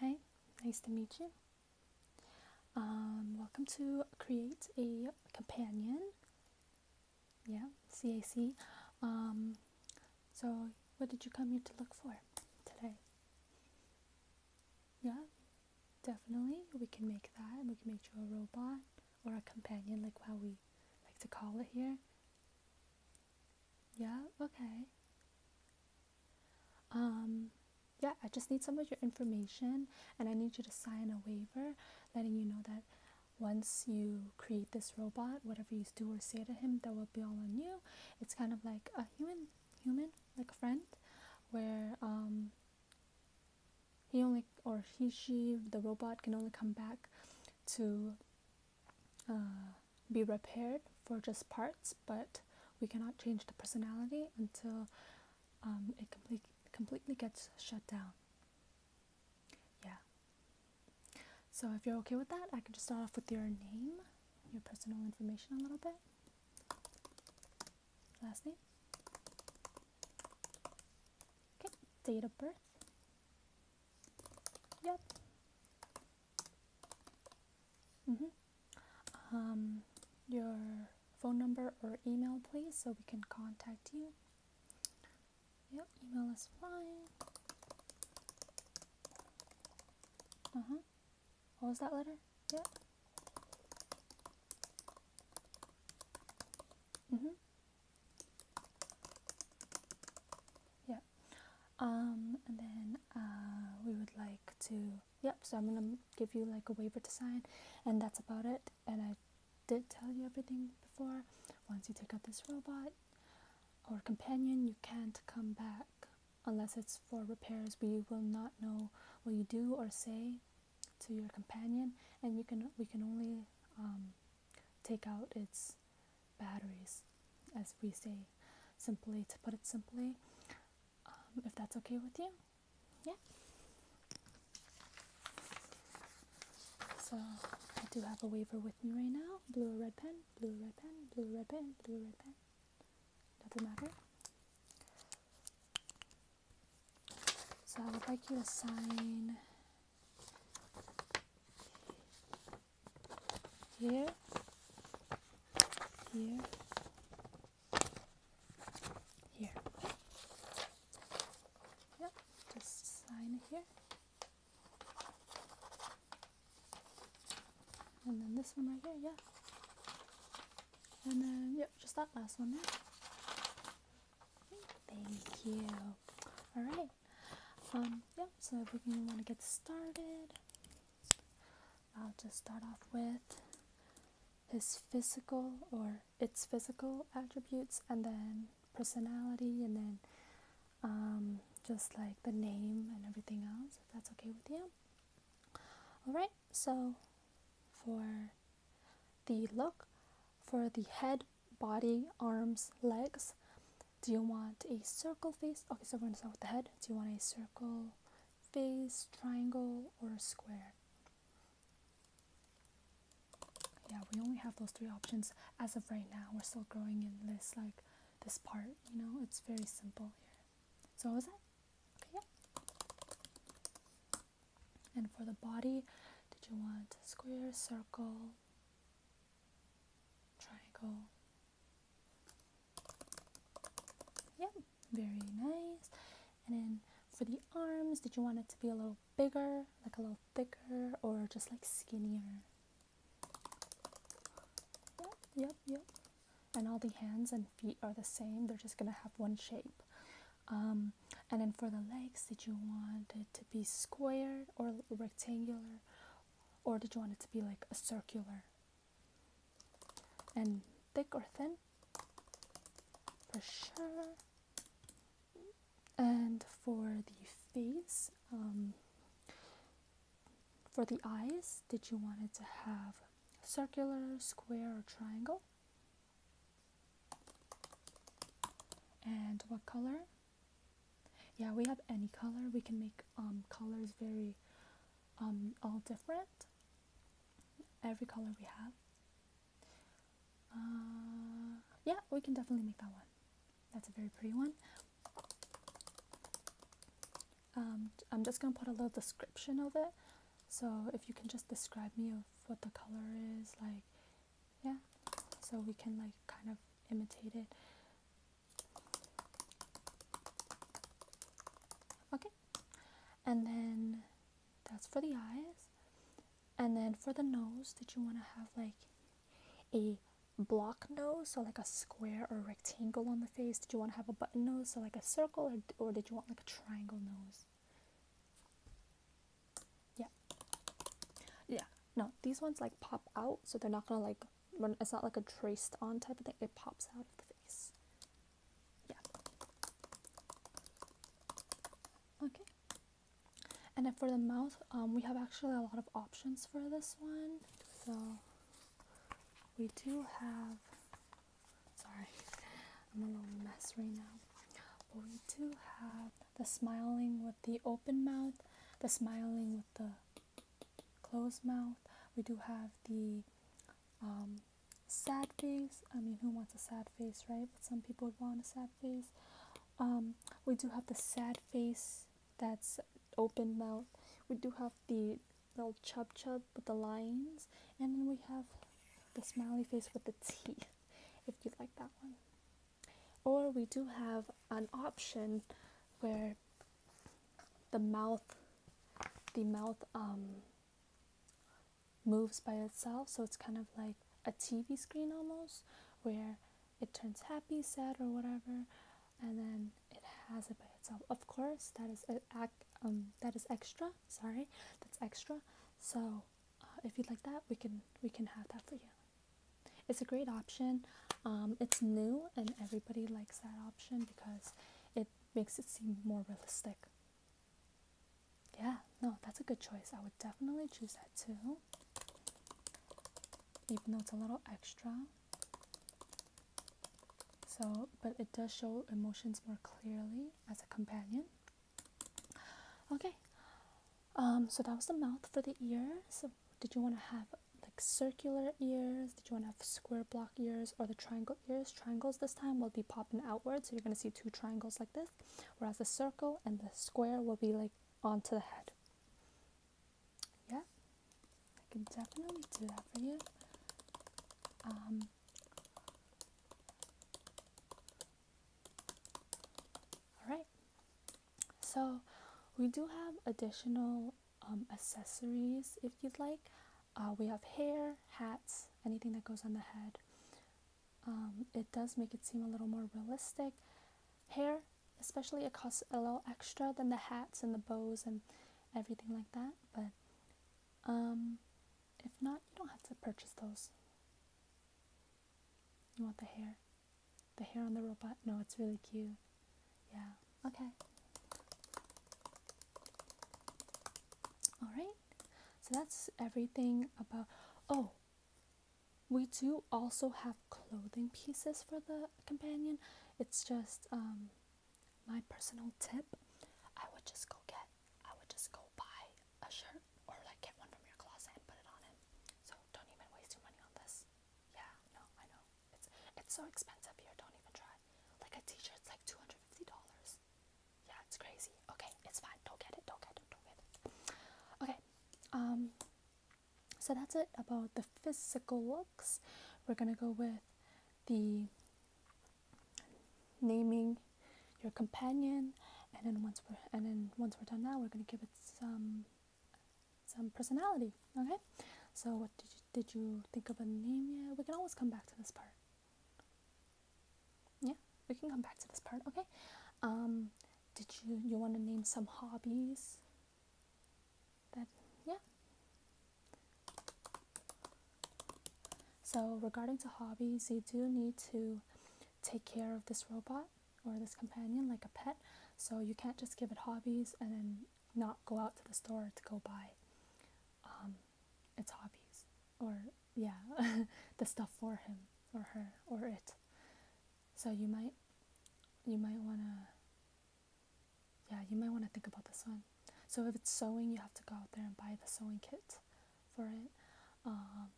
Hi, nice to meet you. Um, welcome to Create a Companion. Yeah, CAC. Um, so, what did you come here to look for today? Yeah, definitely. We can make that. We can make you a robot or a companion, like how we like to call it here. Yeah, okay. Um, yeah, I just need some of your information and I need you to sign a waiver letting you know that once you create this robot, whatever you do or say to him, that will be all on you. It's kind of like a human, human, like a friend, where um, he only or he, she, the robot can only come back to uh, be repaired for just parts, but we cannot change the personality until um, it complete, completely gets shut down. Yeah. So if you're okay with that, I can just start off with your name, your personal information a little bit. Last name. Okay, date of birth. Yep. Mm -hmm. um, your phone number or email, please, so we can contact you. Yep, email is fine. Uh huh. What was that letter? Yep. Mm hmm. Yeah. Um, and then uh, we would like to yep so i'm gonna give you like a waiver to sign and that's about it and i did tell you everything before once you take out this robot or companion you can't come back unless it's for repairs we will not know what you do or say to your companion and you can we can only um, take out its batteries as we say simply to put it simply um, if that's okay with you yeah so i do have a waiver with me right now blue or red pen blue or red pen blue or red pen blue or red pen doesn't matter so i would like you to sign here, here, here. Yeah, just sign here. And then this one right here, yeah. And then, yep, just that last one there. Thank you. All right. Um, Yep. so if we want to get started, I'll just start off with his physical or its physical attributes and then personality and then um, just like the name and everything else if that's okay with you all right so for the look for the head body arms legs do you want a circle face okay so we're going with the head do you want a circle face, triangle, or square. Yeah, we only have those three options as of right now. We're still growing in this like this part, you know, it's very simple here. So is that? Okay, yeah. And for the body, did you want square, circle, triangle, Yep, very nice. And then for the arms, did you want it to be a little bigger, like a little thicker, or just like skinnier? Yep, yep, And all the hands and feet are the same, they're just gonna have one shape. Um, and then for the legs, did you want it to be square or rectangular, or did you want it to be like a circular and thick or thin for sure and for the face um, for the eyes did you want it to have circular square or triangle and what color yeah we have any color we can make um, colors very um, all different. Every color we have. Uh, yeah, we can definitely make that one. That's a very pretty one. Um, I'm just gonna put a little description of it. So if you can just describe me of what the color is, like, yeah, so we can like kind of imitate it. Okay, and then that's for the eyes. And then for the nose, did you want to have like a block nose, so like a square or rectangle on the face? Did you want to have a button nose, so like a circle, or, or did you want like a triangle nose? Yeah. Yeah. No, these ones like pop out, so they're not gonna like when it's not like a traced on type of thing, it pops out of the face. Yeah. Okay. And then for the mouth, um, we have actually a lot of options for this one. So we do have, sorry, I'm a little mess right now. But we do have the smiling with the open mouth, the smiling with the closed mouth. We do have the um, sad face. I mean, who wants a sad face, right? But some people would want a sad face. Um, we do have the sad face that's open mouth. We do have the little chub chub with the lines, and then we have the smiley face with the teeth, if you like that one. Or we do have an option where the mouth the mouth um, moves by itself so it's kind of like a tv screen almost where it turns happy sad or whatever and then it has it by itself of course that is act um, that is extra sorry that's extra so uh, if you'd like that we can we can have that for you it's a great option um, it's new and everybody likes that option because it makes it seem more realistic. Yeah, no, that's a good choice. I would definitely choose that too. Even though it's a little extra. So, but it does show emotions more clearly as a companion. Okay. Um, so that was the mouth for the ears. Did you want to have like circular ears? Did you want to have square block ears or the triangle? triangle triangles this time will be popping outward, so you're going to see two triangles like this, whereas the circle and the square will be like onto the head. Yeah, I can definitely do that for you. Um, all right, so we do have additional um, accessories if you'd like. Uh, we have hair, hats, anything that goes on the head. Um, it does make it seem a little more realistic. Hair, especially, it costs a little extra than the hats and the bows and everything like that. But um, if not, you don't have to purchase those. You want the hair? The hair on the robot? No, it's really cute. Yeah. Okay. Alright. So that's everything about. Oh, we do also have clothing pieces for the companion. It's just um, my personal tip. I would just go get, I would just go buy a shirt or like get one from your closet and put it on him. So don't even waste your money on this. Yeah, no, I know. It's, it's so expensive here. Don't even try. Like a t-shirt's like two hundred fifty dollars. Yeah, it's crazy. Okay, it's fine. Don't get it. Don't get it. Don't get it. Okay. Um. So that's it about the physical looks. We're gonna go with the naming your companion, and then once we're and then once we're done now, we're gonna give it some some personality. Okay. So what did you did you think of a name yet? We can always come back to this part. Yeah, we can come back to this part, okay? Um, did you you want to name some hobbies? That yeah. So regarding to hobbies, you do need to take care of this robot or this companion like a pet. So you can't just give it hobbies and then not go out to the store to go buy um, its hobbies or yeah the stuff for him or her or it so you might you might want to yeah you might want to think about this one so if it's sewing you have to go out there and buy the sewing kit for it um,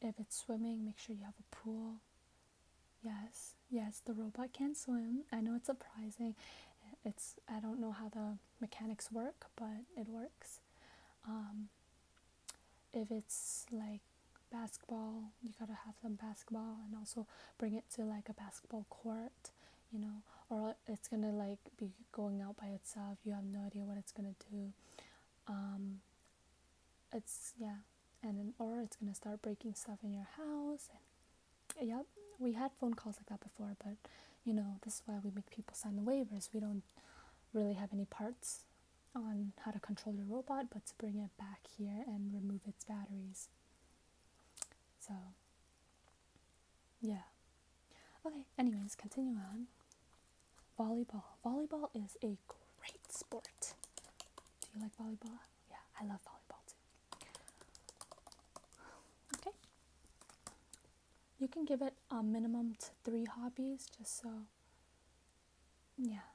if it's swimming make sure you have a pool yes yes the robot can swim i know it's surprising it's i don't know how the mechanics work, but it works. Um, if it's like basketball, you gotta have some basketball and also bring it to like a basketball court, you know, or it's gonna like be going out by itself. You have no idea what it's gonna do. Um, it's yeah, and then, or it's gonna start breaking stuff in your house, and Yep, we had phone calls like that before, but you know, this is why we make people sign the waivers. We don't really have any parts on how to control your robot, but to bring it back here and remove its batteries. So, yeah. Okay, anyways, continue on. Volleyball. Volleyball is a great sport. Do you like volleyball? Yeah, I love volleyball too. Okay you can give it a minimum to three hobbies just so yeah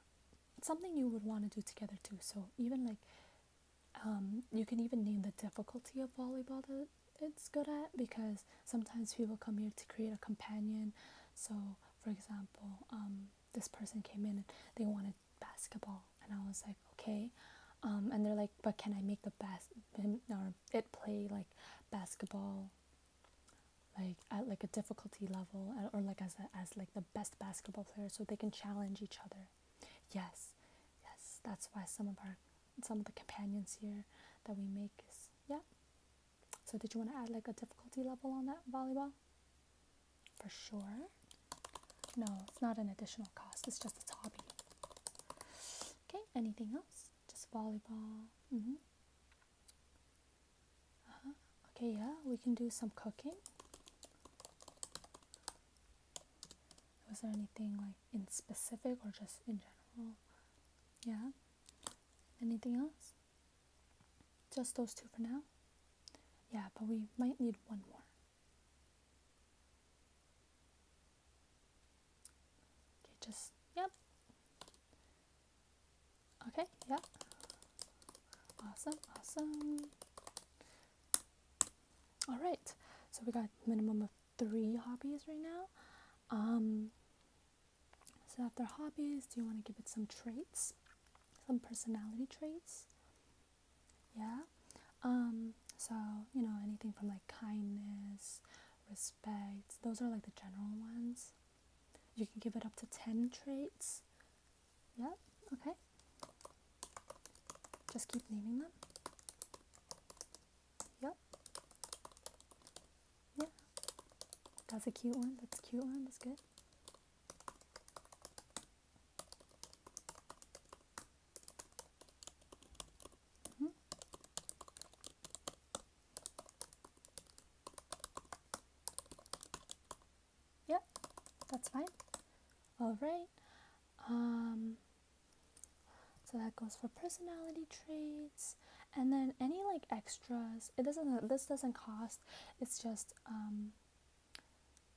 something you would want to do together too so even like um, you can even name the difficulty of volleyball that it's good at because sometimes people come here to create a companion so for example um, this person came in and they wanted basketball and i was like okay um, and they're like but can i make the bas- or it play like basketball like at like a difficulty level or like as as like the best basketball player so they can challenge each other yes yes that's why some of our some of the companions here that we make is yeah so did you want to add like a difficulty level on that volleyball for sure no it's not an additional cost it's just a hobby Okay, anything else? Just volleyball. Mm -hmm. uh -huh. Okay, yeah, we can do some cooking. Was there anything like in specific or just in general? Yeah. Anything else? Just those two for now? Yeah, but we might need one more. Okay, just, yep. Okay, yep. Awesome, awesome. All right, so we got minimum of three hobbies right now. Um, so after hobbies, do you want to give it some traits? Some personality traits? Yeah. Um, so, you know, anything from like kindness, respect, those are like the general ones. You can give it up to 10 traits. Yep, okay. Just keep naming them. Yep. Yeah. That's a cute one. That's cute one. That's good. Mm-hmm. Yeah, that's fine. All right. Um, so that goes for personality traits, and then any like extras. It doesn't. This doesn't cost. It's just um,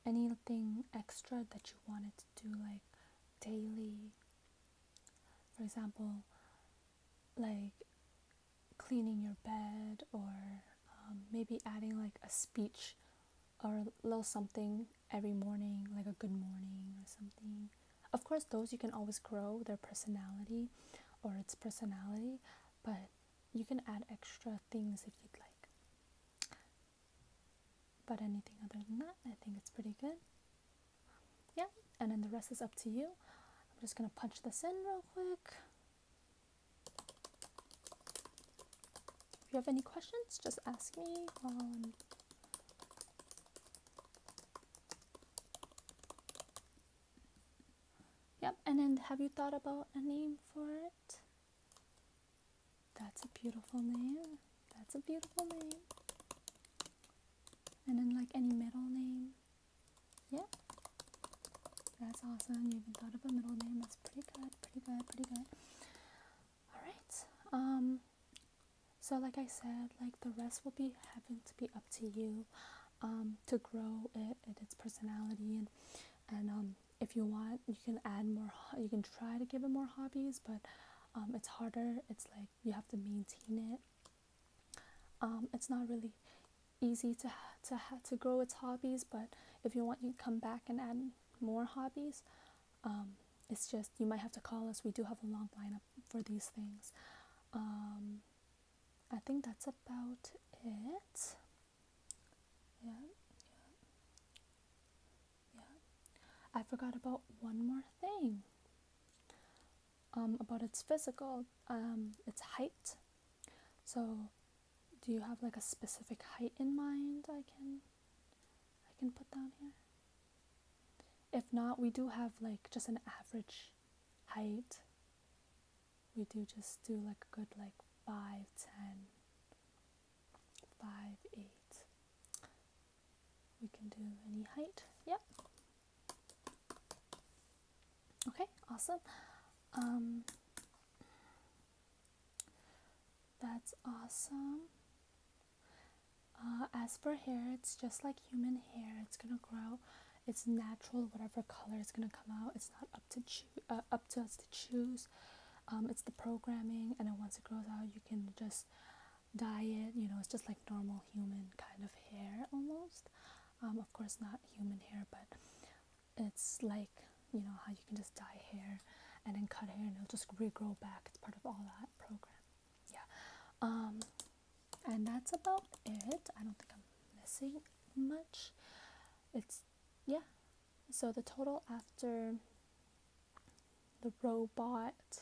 anything extra that you wanted to do, like daily for example, like cleaning your bed or um, maybe adding like a speech or a little something every morning, like a good morning or something. Of course, those you can always grow their personality or its personality, but you can add extra things if you'd like. But anything other than that, I think it's pretty good yeah and then the rest is up to you I'm just gonna punch this in real quick if you have any questions just ask me Yep, and then have you thought about a name for it? That's a beautiful name. That's a beautiful name. And then like any middle name. Yeah. That's awesome. You even thought of a middle name. That's pretty good. Pretty good. Pretty good. All right. Um so like I said, like the rest will be having to be up to you um to grow it, it its personality and and um if you want you can add more you can try to give it more hobbies, but um it's harder. It's like you have to maintain it um, it's not really easy to to to grow its hobbies but if you want to come back and add more hobbies um, it's just you might have to call us we do have a long lineup for these things um, i think that's about it yeah yeah yeah i forgot about one more thing um, about its physical, um, its height. So, do you have like a specific height in mind? I can, I can put down here. If not, we do have like just an average height. We do just do like a good like 5, 10, 5, 8 we can do any height. Yep. Okay, awesome. Um, that's awesome. Uh, as for hair, it's just like human hair. It's gonna grow. It's natural. Whatever color is gonna come out. It's not up to uh, up to us to choose. Um, it's the programming, and then once it grows out, you can just diet you know it's just like normal human kind of hair almost um, of course not human hair but it's like you know how you can just dye hair and then cut hair and it'll just regrow back it's part of all that program yeah um, and that's about it i don't think i'm missing much it's yeah so the total after the robot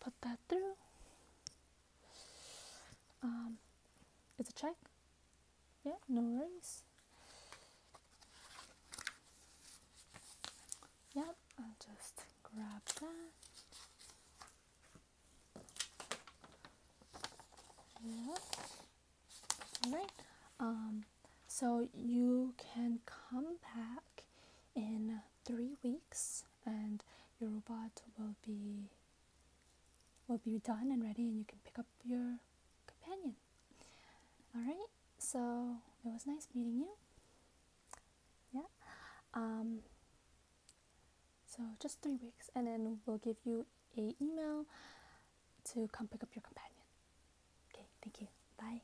Put that through. Um, it's a check. Yeah, no worries. Yep, I'll just grab that. Yeah. Alright. Um, so you can come back in three weeks and your robot will be will be done and ready and you can pick up your companion all right so it was nice meeting you yeah um, so just three weeks and then we'll give you a email to come pick up your companion okay thank you bye